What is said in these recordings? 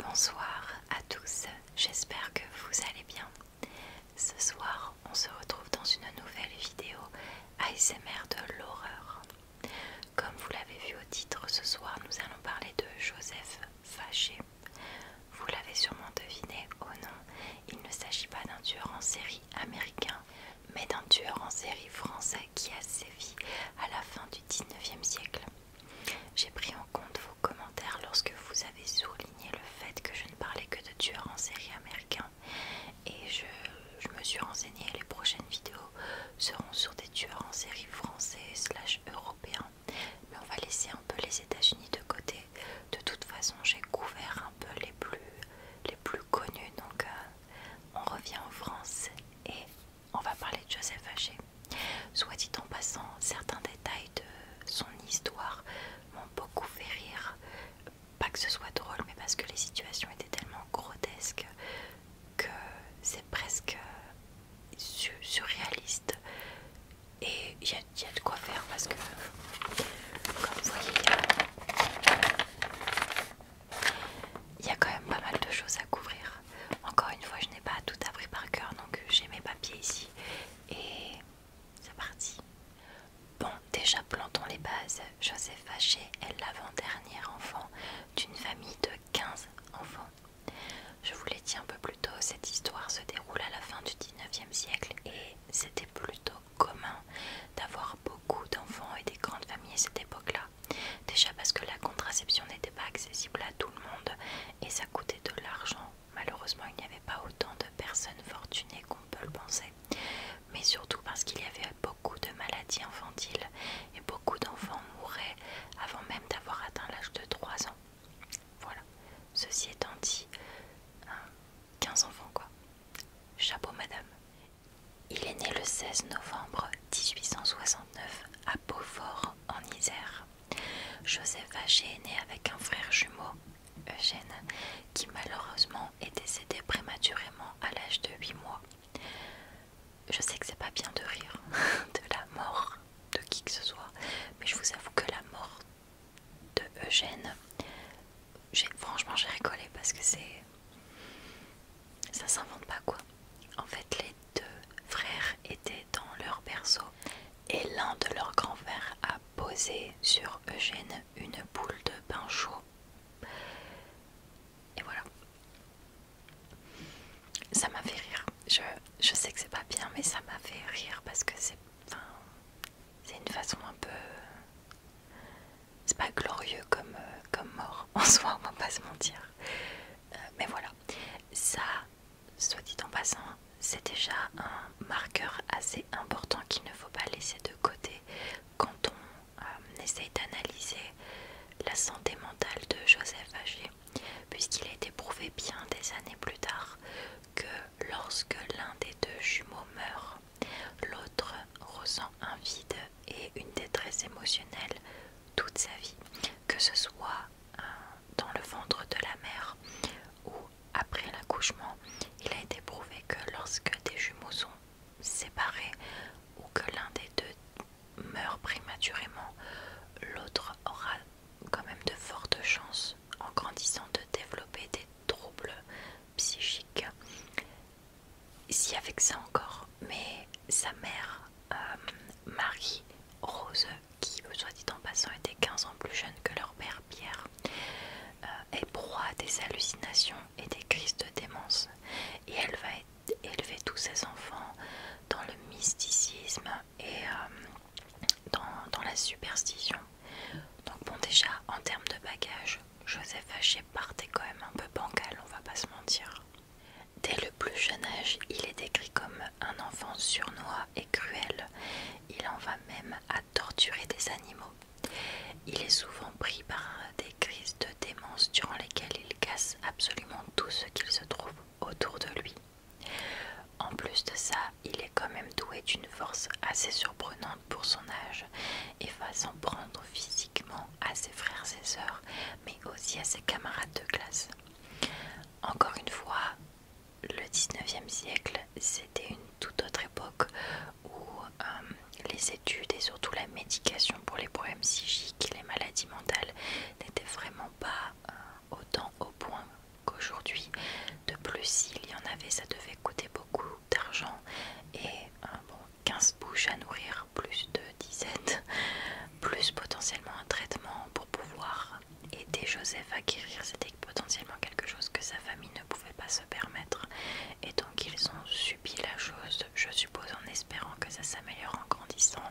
Bonsoir à tous, j'espère que vous allez bien. Ce soir, on se retrouve dans une nouvelle vidéo ASMR de l'horreur. Comme vous l'avez vu au titre, ce soir nous allons parler de Joseph Faché. Vous l'avez sûrement deviné, oh non, il ne s'agit pas d'un tueur en série américain, mais d'un tueur en série français qui a sévi à la fin du 19e siècle. J'ai pris en compte vos commentaires lorsque vous avez souligné le fait que je ne parlais que de tueurs en série américains et je, me suis renseignée les prochaines vidéos seront sur des tueurs en série français slash européens mais on va laisser un peu les États-Unis de côté. De toute façon j'ai couvert un peu les plus les plus connus donc euh, on revient en France et on va parler de Joseph Haché. Soit dit en passant, certains détails de son histoire m'ont beaucoup fait rire. Pas que ce soit drôle, mais parce que les situations étaient tellement grotesques que c'est presque surréaliste. Et il y, a de quoi faire parce que, comme vous voyez, il y a quand même pas mal de choses à couvrir. Encore une fois, je n'ai pas tout appris par cœur, donc j'ai mes papiers ici. Et c'est parti. Bon, déjà plantons les bases. Joseph Hachet est l'avant-dernier enfant d'une famille de 15 enfants. Je vous l'ai dit un peu plus tôt, cette histoire se déroule à la fin du 19e siècle et c'était plutôt commun d'avoir beaucoup d'enfants et des grandes familles à cette époque-là. Déjà parce que la contraception n'était pas accessible à tout le monde et ça coûtait de l'argent. Malheureusement, il n'y avait pas autant de personnes fortunées qu'on peut le penser. Mais surtout parce qu'il y avait beaucoup de maladies infantiles et beaucoup d'enfants mouraient avant même d'avoir atteint l'âge de 3 ans. Voilà. Ceci étant dit, 15 hein, enfants quoi. Chapeau madame. Il est né le 16 novembre 1869 à Beaufort en Isère. Joseph Vacher est né avec un frère jumeau, Eugène, qui malheureusement est décédé prématurément à l'âge de 8 mois. Je sais que c'est pas bien de rire de la mort de qui que ce soit, mais je vous avoue que la mort de Eugène, franchement j'ai rigolé parce que c'est ça s'invente pas quoi. En fait, les deux frères étaient dans leur berceau et l'un de leurs grands-frères a posé sur Eugène une boule de pain chaud. Et voilà. Ça m'a fait rire. Je, sais que c'est pas bien, mais ça m'a fait rire parce que c'est c'est une façon un peu. C'est pas glorieux comme, euh, comme mort en soi, on va pas se mentir. Euh, mais voilà, ça, soit dit en passant, c'est déjà un marqueur assez important qu'il ne faut pas laisser de côté quand on essaie euh, essaye d'analyser la santé mentale de Joseph Haché, puisqu'il a été prouvé bien des années plus tard que lorsque l'un des deux jumeaux meurt, l'autre ressent un vide et une détresse émotionnelle toute sa vie, que ce soit euh, dans le ventre de la mère ou après l'accouchement. Il a été prouvé que lorsque des jumeaux sont séparés ou que l'un des deux meurt prématurément, l'autre aura quand même de fortes chances en grandissant de développer des troubles psychiques. Si avec ça encore mais sa mère, euh, Marie Rose, qui soit dit en passant était 15 ans plus jeune que leur père Pierre, euh, est proie à des hallucinations et des crises de démence et elle va élever tous ses enfants dans le mysticisme et euh, dans, la superstition. Donc bon déjà en termes de bagages, Joseph H. partait quand même un peu bancal, on va pas se mentir. Dès le plus jeune âge, il est décrit comme un enfant surnois et cruel. Il en va même à torturer des animaux. Il est souvent pris par des crises de démence durant lesquelles il casse absolument tout ce qu'il se trouve autour de lui. En plus de ça, il est quand même doué d'une force assez surprenante pour son âge et va s'en prendre physiquement à ses frères et sœurs, aussi à ses camarades de classe. Encore une fois, le 19e siècle, c'était une toute autre époque où euh, les études et surtout la médication pour les problèmes psychiques et les maladies mentales n'étaient vraiment pas euh, autant au point qu'aujourd'hui. De plus, s'il y en avait, ça devait coûter beaucoup d'argent et euh, bon, 15 bouches à nourrir plus de dizaines, plus potentiellement un traitement pour pouvoir aider Joseph à guérir. C'était potentiellement quelque chose que sa famille ne pouvait pas se permettre. Et donc ils ont subi la chose, je suppose, en espérant que ça s'améliore en grandissant.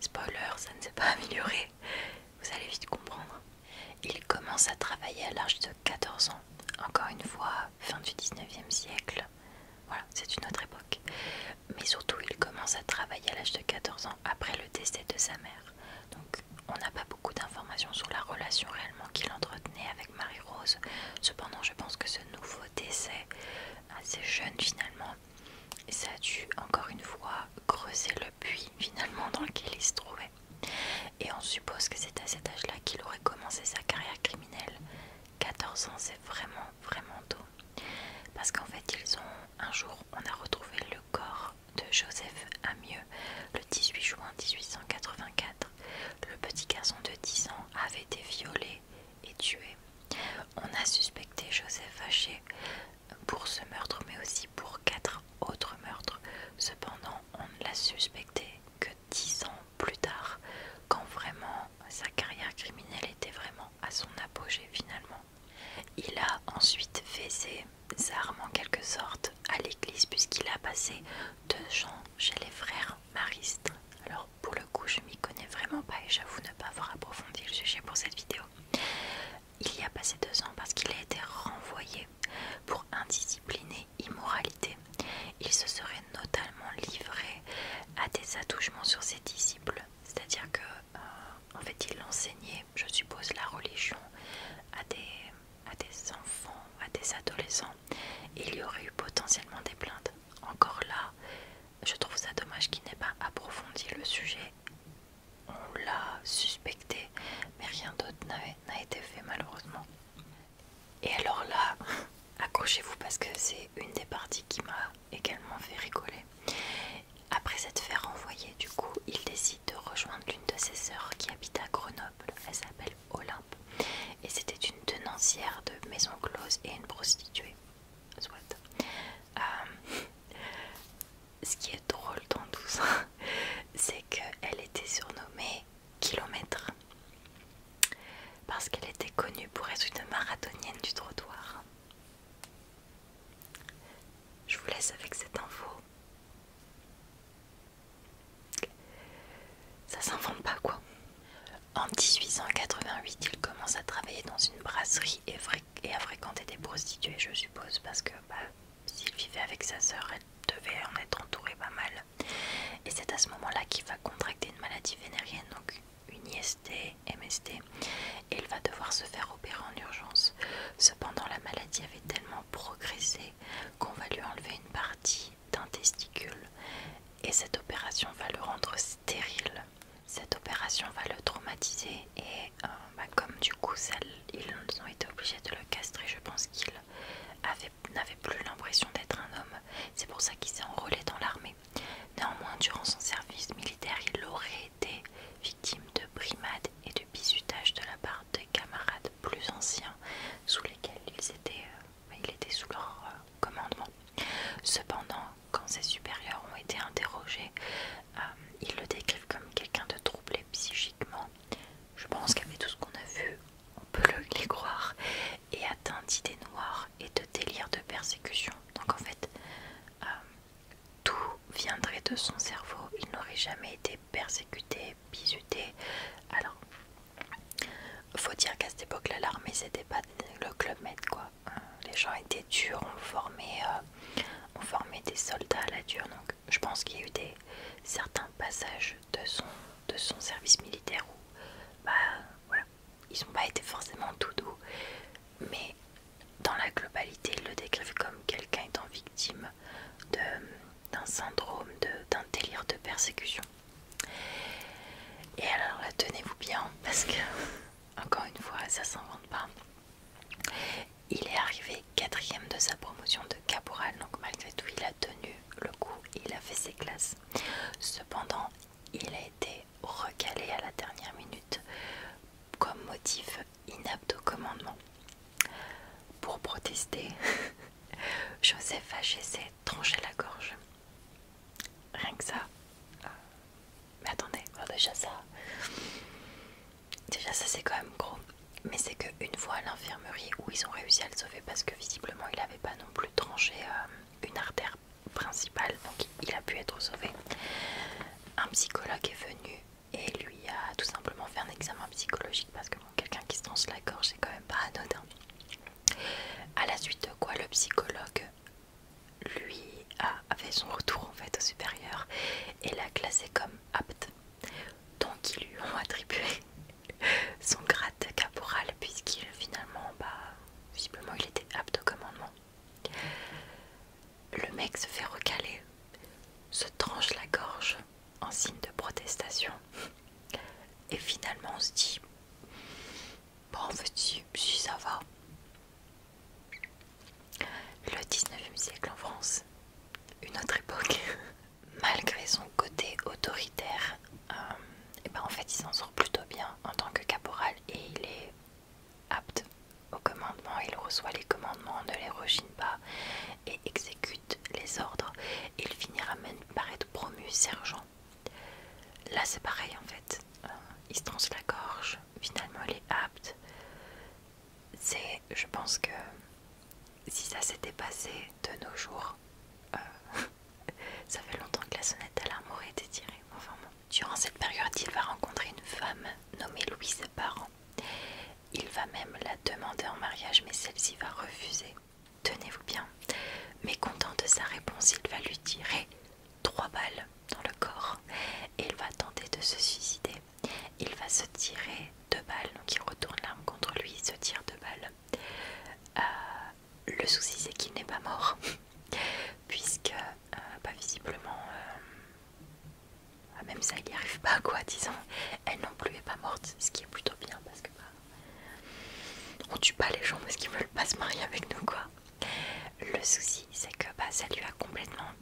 Spoiler, ça ne s'est pas amélioré. Vous allez vite comprendre. Il commence à travailler à l'âge de 14 ans. Encore une fois, fin du 19 siècle. Voilà, c'est une autre époque mais surtout il commence à travailler à l'âge de 14 ans après le décès de sa mère. Donc on n'a pas beaucoup d'informations sur la relation réellement qu'il entretenait avec Marie-Rose. Cependant je pense que ce nouveau décès, assez jeune finalement, ça a dû encore une fois creuser le puits finalement dans lequel il se trouvait. Et on suppose que c'est à cet âge-là qu'il aurait commencé sa carrière criminelle. 14 ans c'est vraiment vraiment tôt parce qu'en fait ils ont un jour on a retrouvé le corps de Joseph Amieux le 18 juin 1884 le petit garçon de 10 ans avait été violé et tué on a suspecté Joseph Haché pour ce meurtre mais aussi pour quatre autres meurtres cependant on ne l'a suspecté que 10 ans plus tard, quand vraiment sa carrière criminelle était vraiment à son apogée finalement. Il a ensuite fait ses armes en quelque sorte à l'église puisqu'il a passé deux ans chez les frères maristes. Alors pour le coup je m'y connais vraiment pas et j'avoue ne pas avoir approfondi le sujet pour cette vidéo. Il y a passé deux ans parce qu'il a été renvoyé pour et immoralité. Il se serait notamment livré à des attouchements sur ses disciples. C'est-à-dire que, euh, en fait, il enseignait, je suppose, la religion à des, à des enfants, à des adolescents. il y aurait eu potentiellement des plaintes. Encore là, je trouve ça dommage qu'il n'ait pas approfondi le sujet. On l'a suspecté, mais rien d'autre n'a été fait malheureusement. Et alors là, accrochez-vous parce que c'est une des parties qui m'a également fait rigoler. Après s'être fait renvoyer, du coup, il décide de rejoindre l'une de ses sœurs qui habite à Grenoble. Elle s'appelle Olympe. Et c'était une tenancière de maison close et une prostituée. Soit. Euh, ce qui est drôle dans tout ça, c'est qu'elle était surnommée Kilomètre parce qu'elle était connue pour être une marathonienne du trottoir. Je vous laisse avec cette info. Ça s'invente pas quoi. En 1888, il commence à travailler dans une brasserie et, à fréquenter des prostituées, je suppose, parce que bah, s'il vivait avec sa sœur, elle devait en être entourée pas mal. Et c'est à ce moment-là qu'il va contracter une maladie vénérienne, donc une IST, MST, et il va devoir se faire opérer en urgence. Cependant, la maladie avait tellement progressé qu'on va lui enlever une partie d'un testicule et cette opération va le rendre stérile. Cette opération va le traumatiser et euh, bah, comme du coup ils ont été obligés de le castrer, je pense qu'il n'avait plus l'impression d'être un homme. C'est pour ça qu'il s'est enrôlé dans l'armée. Néanmoins, durant son service militaire, il aurait été victime de brimades et de bizutages de la part de camarades plus anciens sous lesquels il euh, était sous leur euh, commandement. Cependant, quand ses supérieurs ont été interrogés, euh, ils le décrivent comme quelqu'un de troublé psychiquement. Je pense qu'avec tout ce qu'on a vu, on peut le, les croire et atteint d'idées noires et de délire de persécution. Donc en fait, euh, tout viendrait de son cerveau. Il n'aurait jamais été persécuté, bisuté. Alors, faut dire qu'à cette époque-là, l'armée c'était pas le club med quoi. Euh, les gens étaient durs, on formait, euh, on des soldats à la dure. Donc, je pense qu'il y a eu des certains passages de son de son service militaire où, bah ils n'ont pas été forcément tout doux, mais dans la globalité, ils le décrivent comme quelqu'un étant victime d'un syndrome, d'un délire de persécution. Et alors tenez-vous bien, parce que, encore une fois, ça s'invente pas. Il est arrivé quatrième de sa promotion de caporal, donc malgré tout, il a tenu le coup, et il a fait ses classes. Cependant, il a été recalé à la dernière minute comme motif inapte au commandement. Pour protester, Joseph H.C. s'est tranché la gorge. Rien que ça. Mais attendez, oh, déjà ça. Déjà ça c'est quand même gros. Mais c'est qu'une fois à l'infirmerie où ils ont réussi à le sauver parce que visiblement il n'avait pas non plus tranché euh, une artère principale, donc il a pu être sauvé. Un psychologue est venu et lui a tout simplement fait un examen psychologique parce que bon, quelqu'un qui se tranche la gorge, c'est quand même pas anodin. À la suite de quoi, le psychologue lui a fait son retour en fait au supérieur et l'a classé comme apte. Donc ils lui ont attribué son grade de caporal puisqu'il finalement bah visiblement il était apte au commandement. Le mec se fait recaler, se tranche la gorge en signe de protestation et finalement on se dit bon en fait si, ça va. Le 19e siècle en France, une autre époque, malgré son côté autoritaire, euh, et eh ben en fait il s'en sort plutôt bien en tant que caporal et il est apte au commandement, il reçoit les commandements, ne les rechigne pas et exécute les ordres. Il finira même par être promu sergent. Là c'est pareil en fait, euh, il se tranche la gorge, finalement il est apte. C'est, je pense que si ça s'était passé de nos jours, euh, ça fait longtemps que la sonnette à l'arme aurait été tirée. Durant cette période, il va rencontrer une femme nommée Louise Parent. Il va même la demander en mariage, mais celle-ci va refuser. Tenez-vous bien. Mécontent de sa réponse, il va lui tirer trois balles dans le corps et il va tenter de se suicider. Il va se tirer deux balles, donc il retourne l'arme contre lui, il se tire deux balles. Euh, le souci c'est qu'il n'est pas mort, puisque pas euh, bah, visiblement, euh, bah, même ça il n'y arrive pas quoi, disons, elle non plus est pas morte, ce qui est plutôt bien parce que bah, on tue pas les gens parce qu'ils veulent pas se marier avec nous quoi. Le souci c'est que bah, ça lui a complètement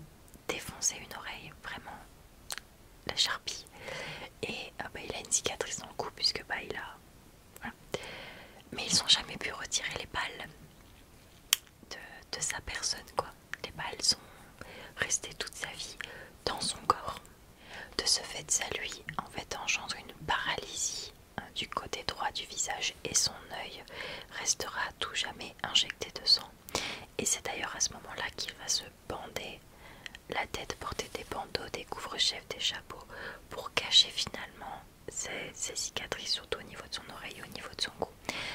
défoncé une oreille, vraiment la charpie, et il a une cicatrice dans le cou puisque bah, il a mais ils n'ont jamais pu retirer les balles de, sa personne, quoi. Les balles sont restées toute sa vie dans son corps. De ce fait, ça lui, en fait, engendre une paralysie hein, du côté droit du visage et son œil restera tout jamais injecté de sang. Et c'est d'ailleurs à ce moment-là qu'il va se bander la tête portait des bandeaux, des couvre-chefs, des chapeaux pour cacher finalement ses, cicatrices, surtout au niveau de son oreille au niveau de son cou.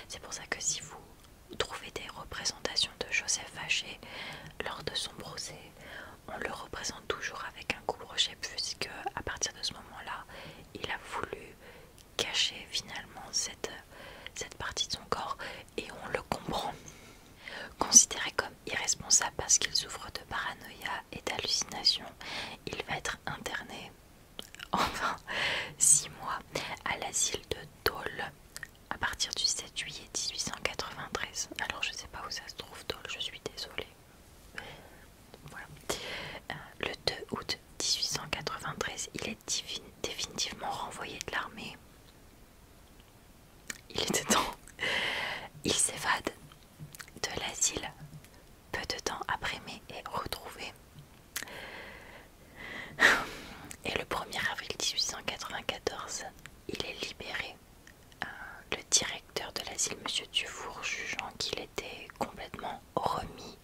C'est pour ça que si vous trouvez des représentations de Joseph Haché lors de son procès, on le représente toujours avec un couvre-chef, puisque à partir de ce moment-là, il a voulu cacher finalement cette, cette partie de son corps et on le comprend. Considéré comme irresponsable parce qu'il souffre de paranoïa et d'hallucination Il va être interné enfin 6 mois à l'asile de Dole à partir du 7 juillet 1893. Alors je sais pas où ça se trouve Dole, je suis désolée. Euh, le 2 août 1893, il est définitivement renvoyé de l'armée il est temps. Il s'évade de l'asile peu de temps après, mais est retrouvé. Et le 1er avril 1894, il est libéré. Euh, le directeur de l'asile, monsieur Dufour, jugeant qu'il était complètement remis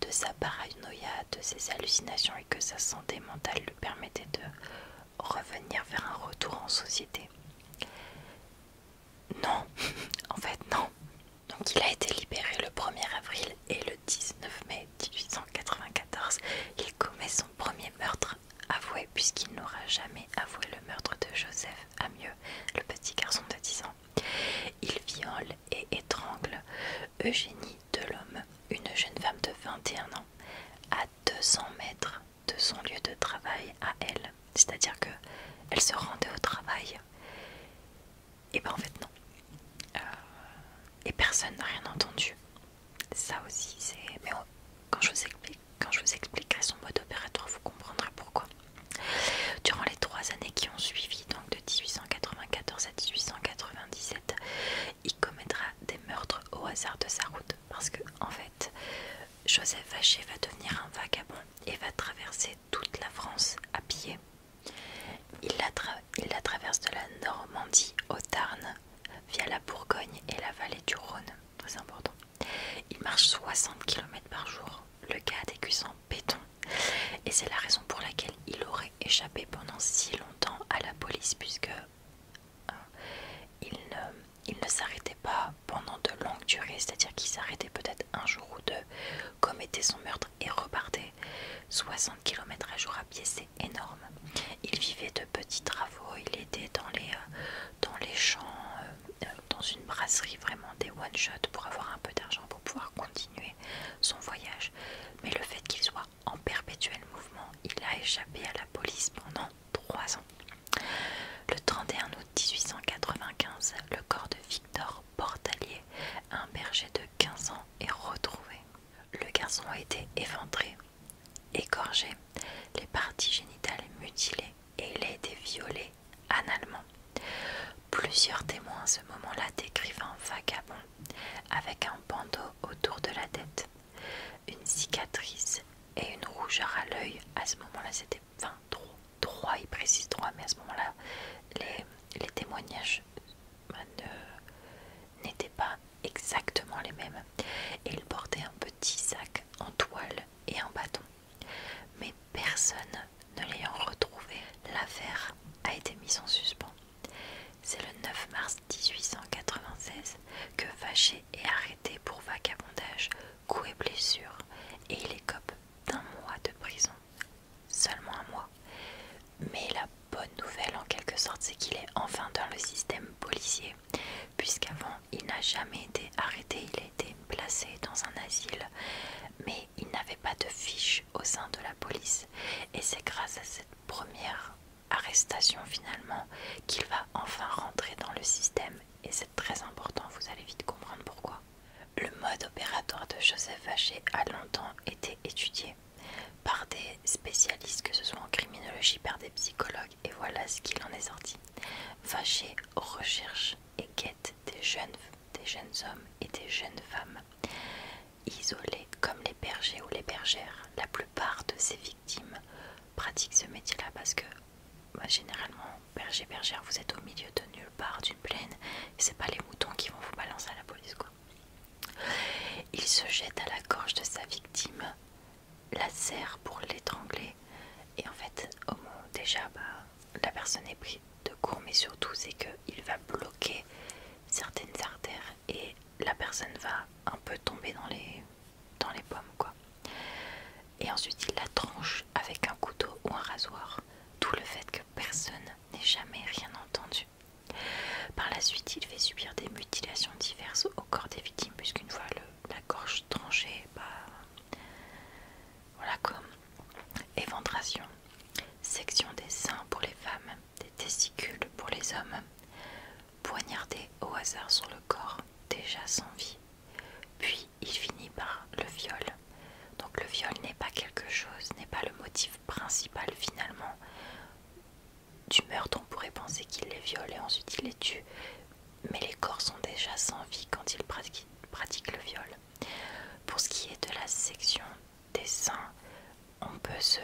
de sa paranoïa, de ses hallucinations et que sa santé mentale lui permettait de revenir vers un retour en société. Non, en fait non. Donc il a été libéré le 1er avril et le 19 mai 1894, il commet son premier meurtre avoué puisqu'il n'aura jamais avoué le meurtre de Joseph Amieux, le petit garçon de 10 ans. Il viole et étrangle Eugénie Delhomme, une jeune femme de 21 ans, à 200 mètres de son lieu de travail à elle. C'est-à-dire que elle se rendait au travail. Et eh ben en fait non. Euh, et personne n'a rien entendu. Ça aussi, c'est. Mais quand je vous quand je vous expliquerai son mode opératoire, vous comprendrez pourquoi. Durant les trois années qui ont suivi, donc de 1894 à 1897, il commettra des meurtres au hasard de sa route parce que en fait Joseph Vacher va devenir un vagabond et va traverser toute la France à pied. Il la, traverse de la Normandie au Tarn via la Bourgogne et la vallée du Rhône, très important. Il marche 60 km par jour, le gars déguisé en béton, et c'est la raison pour laquelle il aurait échappé pendant si longtemps à la police puisque il ne il ne s'arrêtait pas pendant de longues durées, c'est-à-dire qu'il s'arrêtait peut-être un jour ou deux, commettait son meurtre et repartait. 60 km à jour à pied, c'est énorme. Il vivait de petits travaux, il était dans les, euh, dans les champs, euh, euh, dans une brasserie, vraiment des one-shots pour avoir un peu d'argent pour pouvoir continuer son voyage. Mais le fait qu'il soit en perpétuel mouvement, il a échappé à la police pendant 3 ans. Le 31 août 1895, le corps de Victor Portalier, un berger de 15 ans, est retrouvé. Le garçon a été éventré, écorché, les parties génitales mutilées et il a été violé analement. Plusieurs témoins à ce moment-là décrivent un vagabond avec un bandeau autour de la tête, une cicatrice et une rougeur à l'œil. À ce moment-là, c'était 23, trois, il précise 3, mais à ce moment-là, les, les témoignages euh, n'étaient pas exactement les mêmes. Et il portait un petit sac en toile et un bâton. Mais personne ne l'ayant retrouvé, l'affaire a été mise en suspens. C'est le 9 mars 1896 que fâché et arrêté pour vagabondage, coups et blessures, et il écope d'un mois de prison. Seulement un mois. Mais la bonne nouvelle en quelque sorte, c'est qu'il est enfin dans le système policier, puisqu'avant il n'a jamais été arrêté, il a été placé dans un asile, mais il n'avait pas de fiche au sein de la police, et c'est grâce à cette première arrestation finalement qu'il va enfin rentrer dans le système et c'est très important, vous allez vite comprendre pourquoi. Le mode opératoire de Joseph Vacher a longtemps été étudié par des spécialistes, que ce soit en criminologie, par des psychologues, et voilà ce qu'il en est sorti. Vacher recherche et guette des jeunes, des jeunes hommes et des jeunes femmes isolés comme les bergers ou les bergères. La plupart de ces victimes pratique ce métier-là parce que bah, généralement, berger, bergère, vous êtes au milieu de nulle part d'une plaine. C'est pas les moutons qui vont vous balancer à la police, quoi. Il se jette à la gorge de sa victime, la serre pour l'étrangler, et en fait, au moins, déjà, bah, la personne est prise de court, mais surtout, c'est qu'il va bloquer certaines artères et la personne va un peu tomber dans les dans les pommes quoi. Et ensuite il la tranche avec un couteau ou un rasoir, tout le fait que personne n'ait jamais rien entendu. Par la suite il fait subir des mutilations diverses au corps des victimes puisqu'une fois la gorge tranchée, bah voilà comme éventration, section des seins pour les femmes, des testicules pour les hommes, poignardé au hasard sur le corps déjà sans vie. Puis il finit par le viol. Donc le viol n'est pas quelque chose, n'est pas le motif principal finalement du meurtre. On pourrait penser qu'il les viole et ensuite il les tue. Mais les corps sont déjà sans vie quand il pratique le viol. Pour ce qui est de la section des seins, on peut se,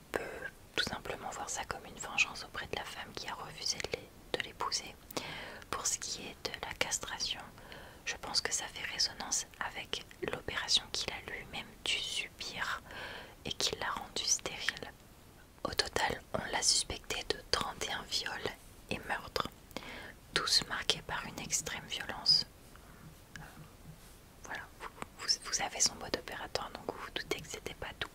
on peut tout simplement voir ça comme une vengeance auprès de la femme qui a refusé de l'épouser. Pour ce qui est de la castration, je pense que ça fait résonance avec l'opération qu'il a lui-même dû subir et qui l'a rendu stérile. Au total, on l'a suspecté de 31 viols et meurtres, tous marqués par une extrême violence. Voilà, vous, avez son mode opératoire, donc vous vous doutez que c'était pas tout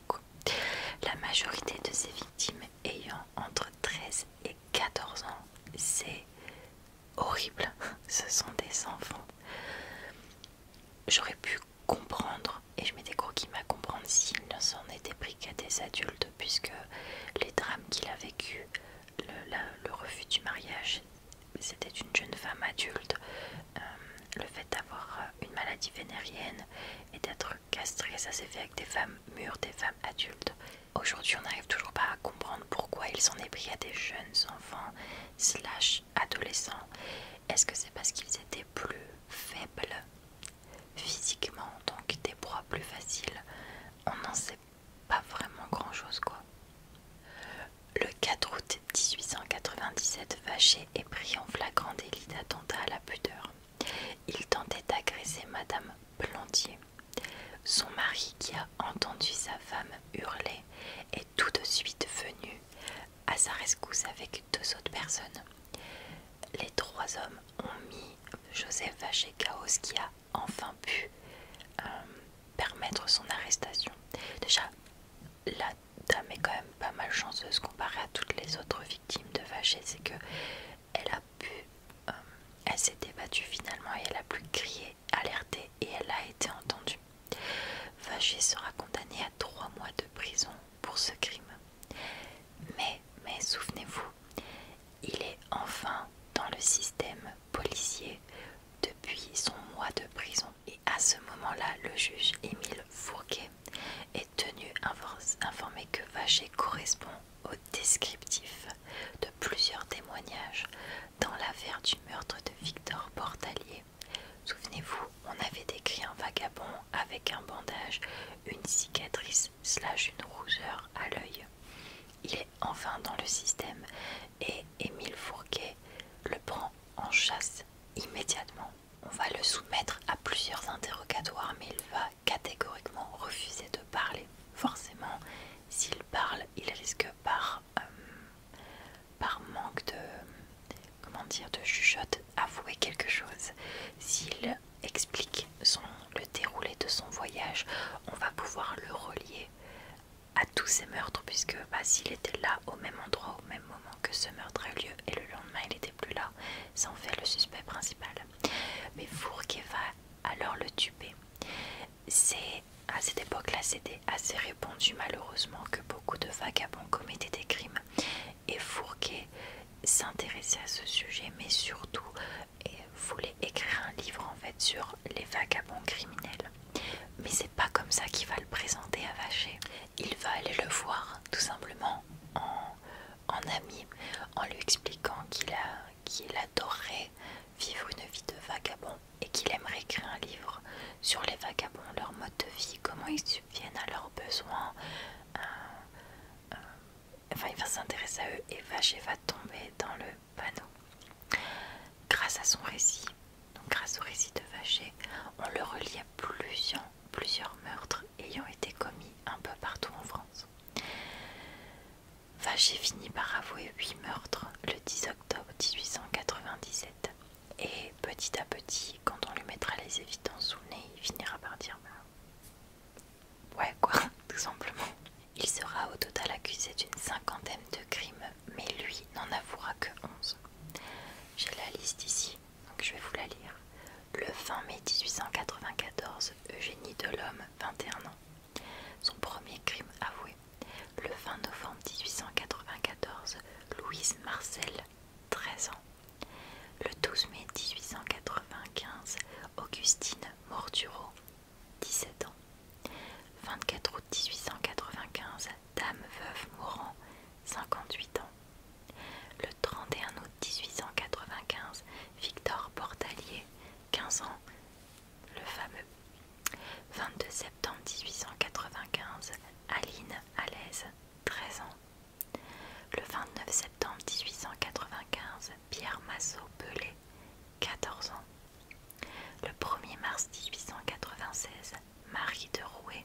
la majorité de ces victimes ayant entre 13 et 14 ans, c'est horrible. Ce sont des enfants. J'aurais pu comprendre, et je m'étais des à comprendre s'il ne s'en était pris qu'à des adultes, puisque les drames qu'il a vécu, le, refus du mariage, c'était une jeune femme adulte. Euh, le fait d'avoir euh, une maladie vénérienne et d'être castré, ça s'est fait avec des femmes mûres, des femmes adultes. Aujourd'hui, on n'arrive toujours pas à comprendre pourquoi ils s'en est à des jeunes enfants slash adolescents. Est-ce que c'est parce qu'ils étaient plus faibles physiquement, donc des proies plus faciles On n'en sait pas vraiment grand-chose, quoi. Le 4 août 1897 Vacher est pris en flagrant délit d'attentat à la pudeur. Il tentait d'agresser Madame Plantier. Son mari, qui a entendu sa femme hurler, est tout de suite venu à sa rescousse avec deux autres personnes. Les trois hommes ont mis Joseph Vacher Chaos qui a enfin pu euh, permettre son arrestation. Déjà, là, dame est quand même pas mal chanceuse comparée à toutes les autres victimes de Vaché c'est que elle a pu, euh, elle s'est débattue finalement et elle a pu crier, alerter et elle a été entendue. Vacher sera condamné à trois mois de prison pour ce crime. Mais, mais souvenez-vous, il est enfin dans le système policier depuis son mois de prison. Et à ce moment-là, le juge Émile Fourquet est tenu informé que Vacher correspond au descriptif de plusieurs témoignages dans l'affaire du meurtre de Victor Portalier. Souvenez-vous, on avait décrit un vagabond avec un bandage, une cicatrice, slash une rougeur à l'œil. Il est enfin dans le système et Émile Fourquet le prend en chasse immédiatement on va le soumettre à plusieurs interrogatoires, mais il va catégoriquement refuser de parler. Forcément, s'il parle, il risque par, euh, manque de, comment dire, de chuchote, avouer quelque chose. S'il explique son, le déroulé de son voyage, on va pouvoir le relier à tous ces meurtres, puisque bah, s'il était là au même endroit, au même moment, que ce meurtre a eu lieu et le lendemain il n'était plus là, sans faire le suspect principal. Mais Fourquet va alors le tuer. C'est à cette époque-là, c'était assez répandu malheureusement que beaucoup de vagabonds commettaient des crimes. Et Fourquet s'intéressait à ce sujet, mais surtout voulait écrire un livre en fait sur les vagabonds criminels. Mais c'est pas comme ça qu'il va le présenter à Vacher il va aller le voir tout simplement en, ami, en lui expliquant qu'il qu'il adorerait vivre une vie de vagabond et qu'il aimerait écrire un livre sur les vagabonds, leur mode de vie, comment ils subviennent à leurs besoins. Euh, euh, enfin, il va s'intéresser à eux et Vaché va tomber dans le panneau. Grâce à son récit, grâce au récit de Vacher, on le relie à plusieurs, plusieurs meurtres ayant été commis un peu partout en France. Vacher finit par avouer 8 meurtres le 10 octobre 1897. Et petit à petit, quand on lui mettra les évidences sous nez, il finira par dire bah, Ouais, quoi, tout simplement. Il sera au total accusé d'une cinquantaine de crimes mais lui n'en avouera que 11. J'ai la liste ici, donc je vais vous la lire. Le 20 mai 1894, Eugénie Delhomme, 21 ans. Son premier crime avoué. Le 20 novembre 1894, Louise Marcel, 13 ans. Le 12 mai 1895, Augustine Morturo, 17 ans. 24 août 1895, dame veuve mourant, 58 ans. Le 31 août 1895, Victor Portalier, 15 ans, le fameux. 22 septembre 1895, Aline Alaise, 13 ans. Le 29 septembre 1895, Pierre Massot Pelé, 14 ans. Le 1er mars 1896, Marie de Rouet,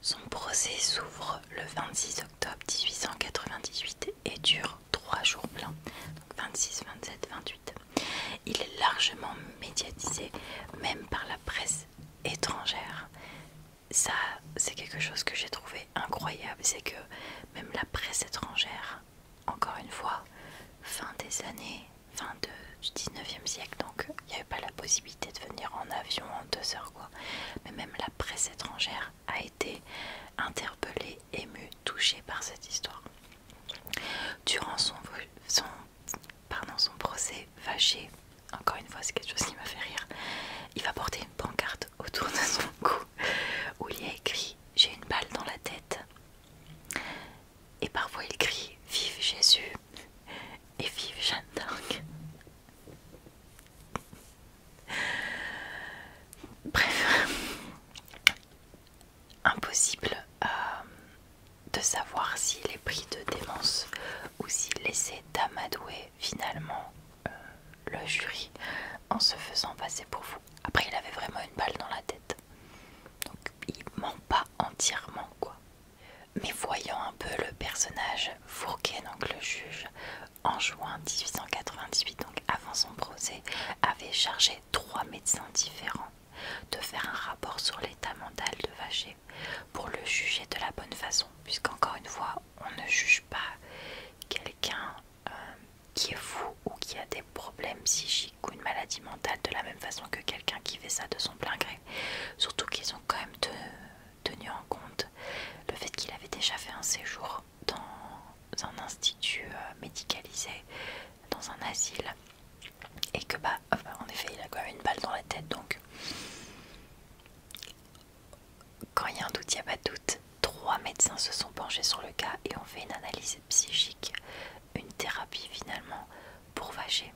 Son procès s'ouvre le 26 octobre 1898 et dure trois jours pleins, donc 26, 27, 28. Il est largement médiatisé, même par la presse étrangère. Ça, c'est quelque chose que j'ai trouvé incroyable, c'est que même la presse étrangère, encore une fois, fin des années, fin du 19e siècle, donc il n'y avait pas la possibilité de venir en avion en deux heures quoi. Mais même la presse étrangère a été interpellée, émue, touchée par cette histoire. Durant son, son, pardon, son procès, fâché, encore une fois c'est quelque chose qui m'a fait rire, il va porter une pancarte autour de son cou où il y a écrit « J'ai une balle dans la tête ». Et parfois il crie « Vive Jésus !» et vive Jeanne d'Arc. Bref, impossible euh, de savoir s'il est pris de démence ou s'il essaie d'amadouer finalement euh, le jury en se faisant passer pour vous. Après, il avait vraiment une balle dans la tête. Donc, il ment pas entièrement, quoi mais voyant un peu le personnage, Fourquet, donc le juge, en juin 1898, donc avant son procès, avait chargé trois médecins différents de faire un rapport sur l'état mental de Vacher pour le juger de la bonne façon, puisqu'encore une fois, on ne juge pas quelqu'un euh, qui est fou ou qui a des problèmes psychiques ou une maladie mentale de la même façon que quelqu'un qui fait ça de son plein gré. Surtout qu'ils ont quand même tenu en compte le fait qu'il avait déjà fait un séjour dans un institut euh, médicalisé, dans un asile, et que bah, en effet, il a quand même une balle dans la tête, donc quand il y a un doute, il n'y a pas de doute. Trois médecins se sont penchés sur le cas et ont fait une analyse psychique, une thérapie finalement pour vager.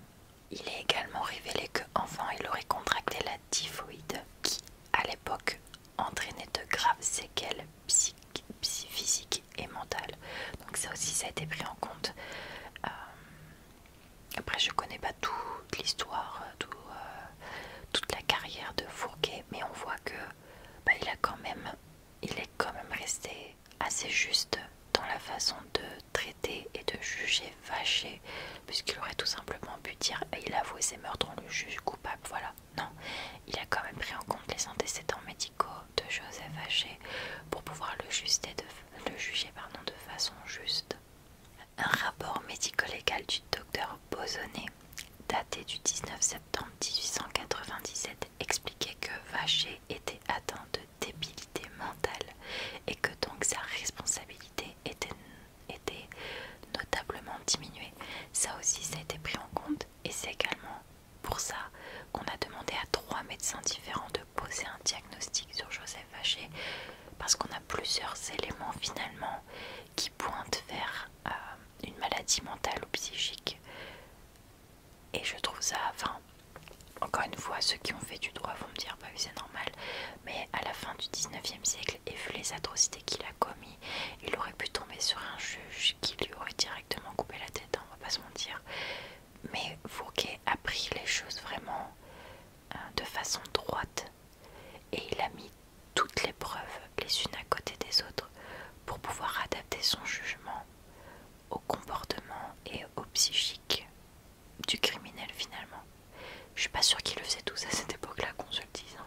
Il est également révélé qu'enfant il aurait contracté la typhoïde qui, à l'époque, entraînait de graves séquelles psychiques physiques et mentales. Donc ça aussi, ça a été pris en compte. Euh, après, je connais pas toute l'histoire, euh, euh, toute la carrière de Fourquet, mais on voit que bah, il est quand même resté assez juste dans la façon de traiter et de juger Vaché puisqu'il aurait tout simplement pu dire il avoue ses meurtres, on le juge coupable, voilà. Non, il a quand même pris en compte les antécédents médicaux de Joseph Vaché pour pouvoir le, de, le juger pardon, de façon juste. Un rapport médico-légal du docteur Bozonnet, daté du 19 septembre 1897, expliquait que Vacher était atteint de débilité mentale et que donc sa responsabilité était, notablement diminuée. Ça aussi, ça a été pris en compte et c'est également pour ça qu'on a demandé à trois médecins différents de poser un diagnostic sur Joseph Vacher parce qu'on a plusieurs éléments finalement qui pointent vers euh, une maladie mentale ou psychique. Et je trouve ça, enfin, encore une fois, ceux qui ont fait du droit vont me dire bah c'est normal, mais à la fin du 19e siècle et vu les atrocités qu'il a commis, il aurait pu tomber sur un juge qui lui aurait directement coupé la tête, hein, on va pas se mentir. Mais Fouquet a pris les choses vraiment euh, de façon droite et il a mis toutes les preuves les unes à côté des autres pour pouvoir adapter son jugement au comportement et au psychique du criminel finalement. Je suis pas sûre qu'il le tout tous à cette époque-là qu'on se le hein.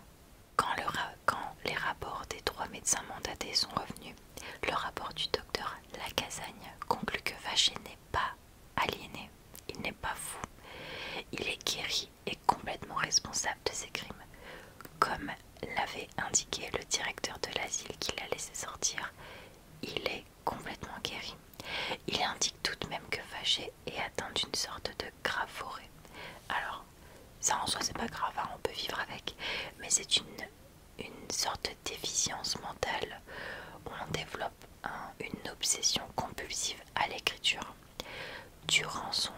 Quand, les rapports des trois médecins mandatés sont revenus, le rapport du docteur Lacazagne conclut que Vaché n'est pas aliéné, il n'est pas fou, il est guéri et complètement responsable de ses crimes. Comme l'avait indiqué le directeur de l'asile qui l'a laissé sortir, il est complètement guéri. Il indique tout de même que fâché est atteint d'une sorte de grave forêt. Alors, ça en soi c'est pas grave, hein, on peut vivre avec, mais c'est une, une sorte de déficience mentale on développe une obsession compulsive à l'écriture. Durant son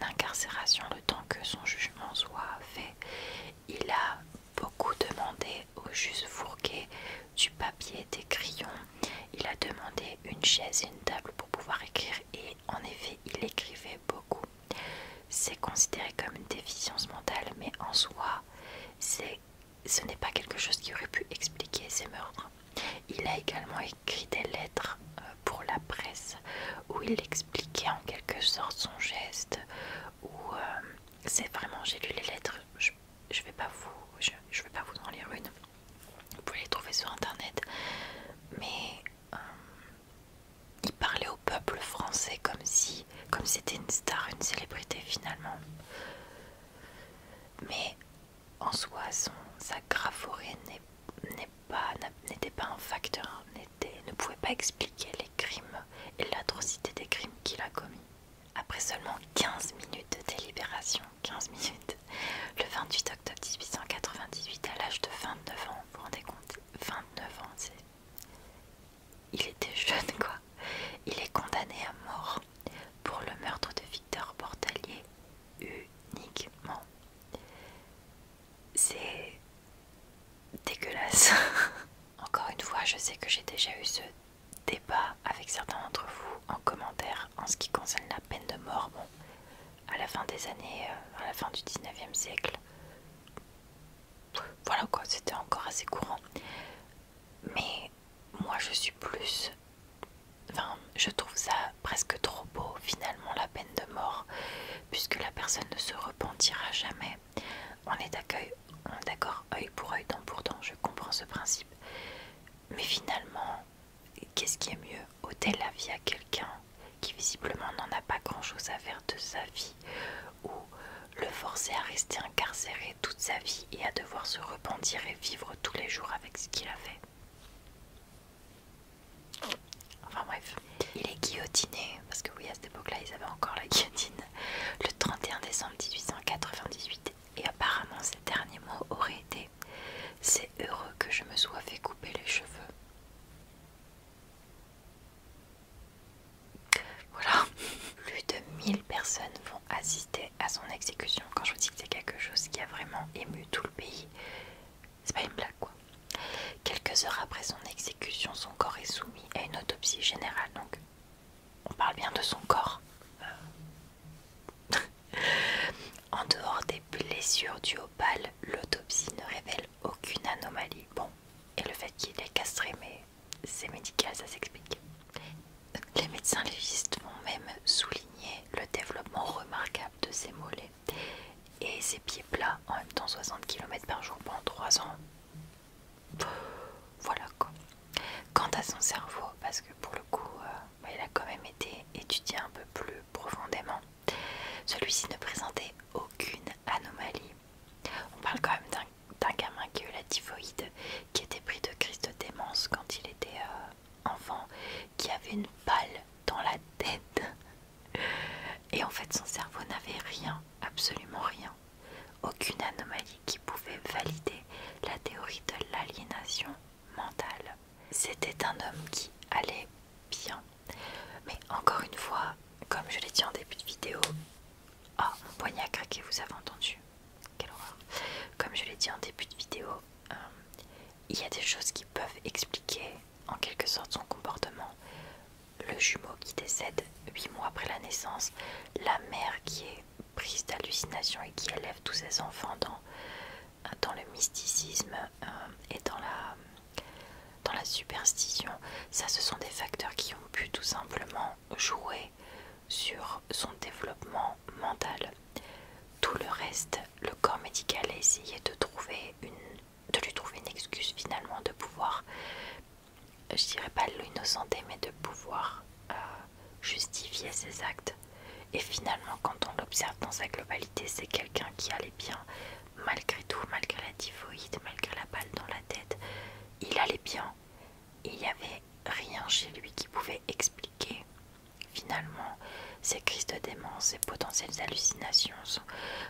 incarcération, le temps que son jugement soit fait, il a beaucoup demandé au juste fourgué du papier, des crayons. Il a demandé une chaise et une table pour pouvoir écrire et en effet il écrivait beaucoup. C'est considéré comme une déficience mentale mais en soi ce n'est pas quelque chose qui aurait pu expliquer ses meurtres. Il a également écrit des lettres euh, pour la presse où il expliquait en quelque sorte son geste ou euh, c'est vraiment, j'ai lu les lettres, je, je vais pas vous, je, pas vous en lire une. Vous pouvez les trouver sur internet, mais euh, il parlait au peuple français comme si, comme c'était une star, une célébrité finalement. Mais en soi, son, sa graphorée n'était pas, pas un facteur, ne pouvait pas expliquer les crimes et l'atrocité des crimes qu'il a commis. Après seulement 15 minutes de délibération, 15 minutes, le 28 octobre 1898, à l'âge de 29 ans, vous vous rendez compte 29 ans, c'est... Il était jeune, quoi. Il est condamné à mort pour le meurtre de Victor Portalier uniquement. C'est dégueulasse. Encore une fois, je sais que j'ai déjà eu ce débat avec certains d'entre vous en commentaire en ce qui concerne la peine de mort. à la fin des années, euh, à la fin du 19e siècle, voilà quoi, c'était encore assez courant. Mais moi, je suis plus. Enfin, je trouve ça presque trop beau, finalement, la peine de mort, puisque la personne ne se repentira jamais. On est d'accord œil pour œil, dent pour dent, je comprends ce principe. Mais finalement, qu'est-ce qui est mieux Ôter la vie à quelqu'un qui visiblement n'en a pas grand-chose à faire de sa vie ou le forcer à rester incarcéré toute sa vie et à devoir se repentir et vivre tous les jours avec ce qu'il a fait. Enfin bref, il est guillotiné parce que oui, à cette époque-là, ils avaient encore la guillotine, le 31 décembre 1898. Et apparemment, ces derniers mots auraient été C'est heureux que je me sois fait couper les cheveux. Voilà, plus de 1000 personnes vont assister à son exécution. Quand je vous dis que c'est quelque chose qui a vraiment ému tout le pays, c'est pas une blague quoi. Quelques heures après son exécution, son corps est soumis à une autopsie générale. Donc on parle bien de son corps. Euh. en dehors des blessures dues au l'autopsie ne révèle aucune anomalie. Bon, et le fait qu'il est castré, mais c'est médical, ça s'explique. Les médecins légistes ont même souligné le développement remarquable de ses mollets et ses pieds plats en même temps 60 km par jour pendant 3 ans. Voilà quoi. Quant à son cerveau, parce que pour le coup, euh, bah, il a quand même été étudié un peu plus profondément, celui-ci ne présentait aucune anomalie. On parle quand même d'un gamin qui a eu la typhoïde, qui était pris de crise de démence quand il était euh, enfant, qui avait une balle dans la tête. Et en fait, son cerveau n'avait rien, absolument rien aucune anomalie qui pouvait valider la théorie de l'aliénation mentale. C'était un homme qui allait bien. Mais encore une fois, comme je l'ai dit en début de vidéo, oh, poignet a vous avez entendu. horreur. Comme je l'ai dit en début de vidéo, euh, il y a des choses qui peuvent expliquer en quelque sorte son comportement le jumeau qui décède 8 mois après la naissance, la mère qui est prise d'hallucination et qui élève tous ses enfants dans, le mysticisme euh, et dans la, dans la superstition, ça ce sont des facteurs qui ont pu tout simplement jouer sur son développement mental. Tout le reste, le corps médical a essayé de, trouver une, de lui trouver une excuse finalement de pouvoir je dirais pas l'innocence mais de pouvoir euh, justifier ses actes. Et finalement, quand on l'observe dans sa globalité, c'est quelqu'un qui allait bien, malgré tout, malgré la typhoïde, malgré la balle dans la tête, il allait bien. Il n'y avait rien chez lui qui pouvait expliquer finalement ses crises de démence, ses potentielles hallucinations,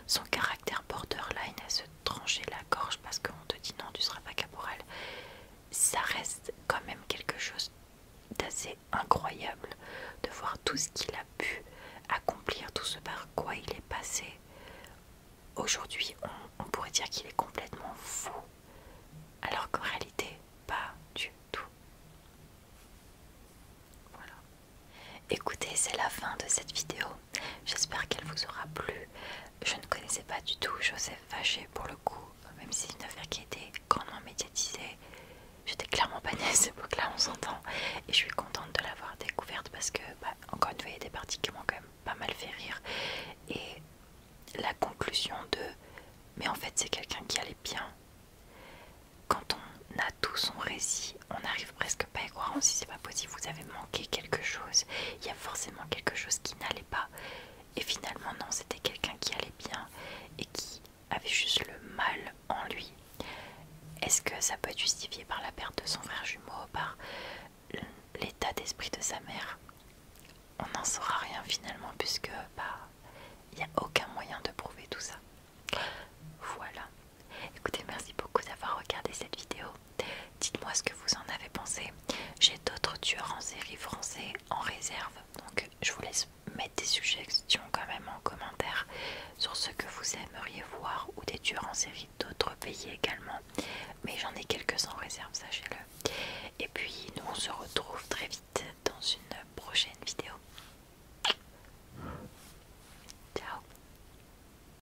son, caractère borderline à ce trancher la gorge parce qu'on te dit non, tu seras pas caporal, ça reste quand même quelque chose d'assez incroyable de voir tout ce qu'il a pu accomplir, tout ce par quoi il est passé. Aujourd'hui, on, on pourrait dire qu'il est complètement fou, alors qu'en réalité, pas du tout. Voilà. Écoutez, c'est la fin de cette vidéo. J'espère qu'elle vous aura plu. Je ne connaissais pas du tout Joseph Vacher pour le coup, même si c'est une affaire qui grandement médiatisée. J'étais clairement pas à ce époque-là, on s'entend. Et je suis contente de l'avoir découverte parce que, bah, encore une fois, il y a des parties qui m'ont quand même pas mal fait rire. Et la conclusion de mais en fait, c'est quelqu'un qui allait bien. Quand on a tout son récit, on arrive presque pas grand si c'est pas possible, vous avez manqué quelque chose, il y a forcément quelque chose qui n'allait pas. Et finalement non, c'était quelqu'un qui allait bien et qui avait juste le mal en lui. Est-ce que ça peut être justifié par la perte de son frère jumeau, par l'état d'esprit de sa mère On n'en saura rien finalement puisque bah, il n'y a aucun moyen de prouver tout ça. Voilà. Écoutez, merci beaucoup d'avoir regardé cette vidéo. Dites-moi ce que vous en avez pensé. J'ai d'autres tueurs en série français en réserve, donc je vous laisse mettre des suggestions quand même en commentaire sur ce que vous aimeriez voir ou des tueurs en série d'autres pays également. Mais j'en ai quelques en réserve, sachez-le. Et puis nous on se retrouve très vite dans une prochaine vidéo. Ciao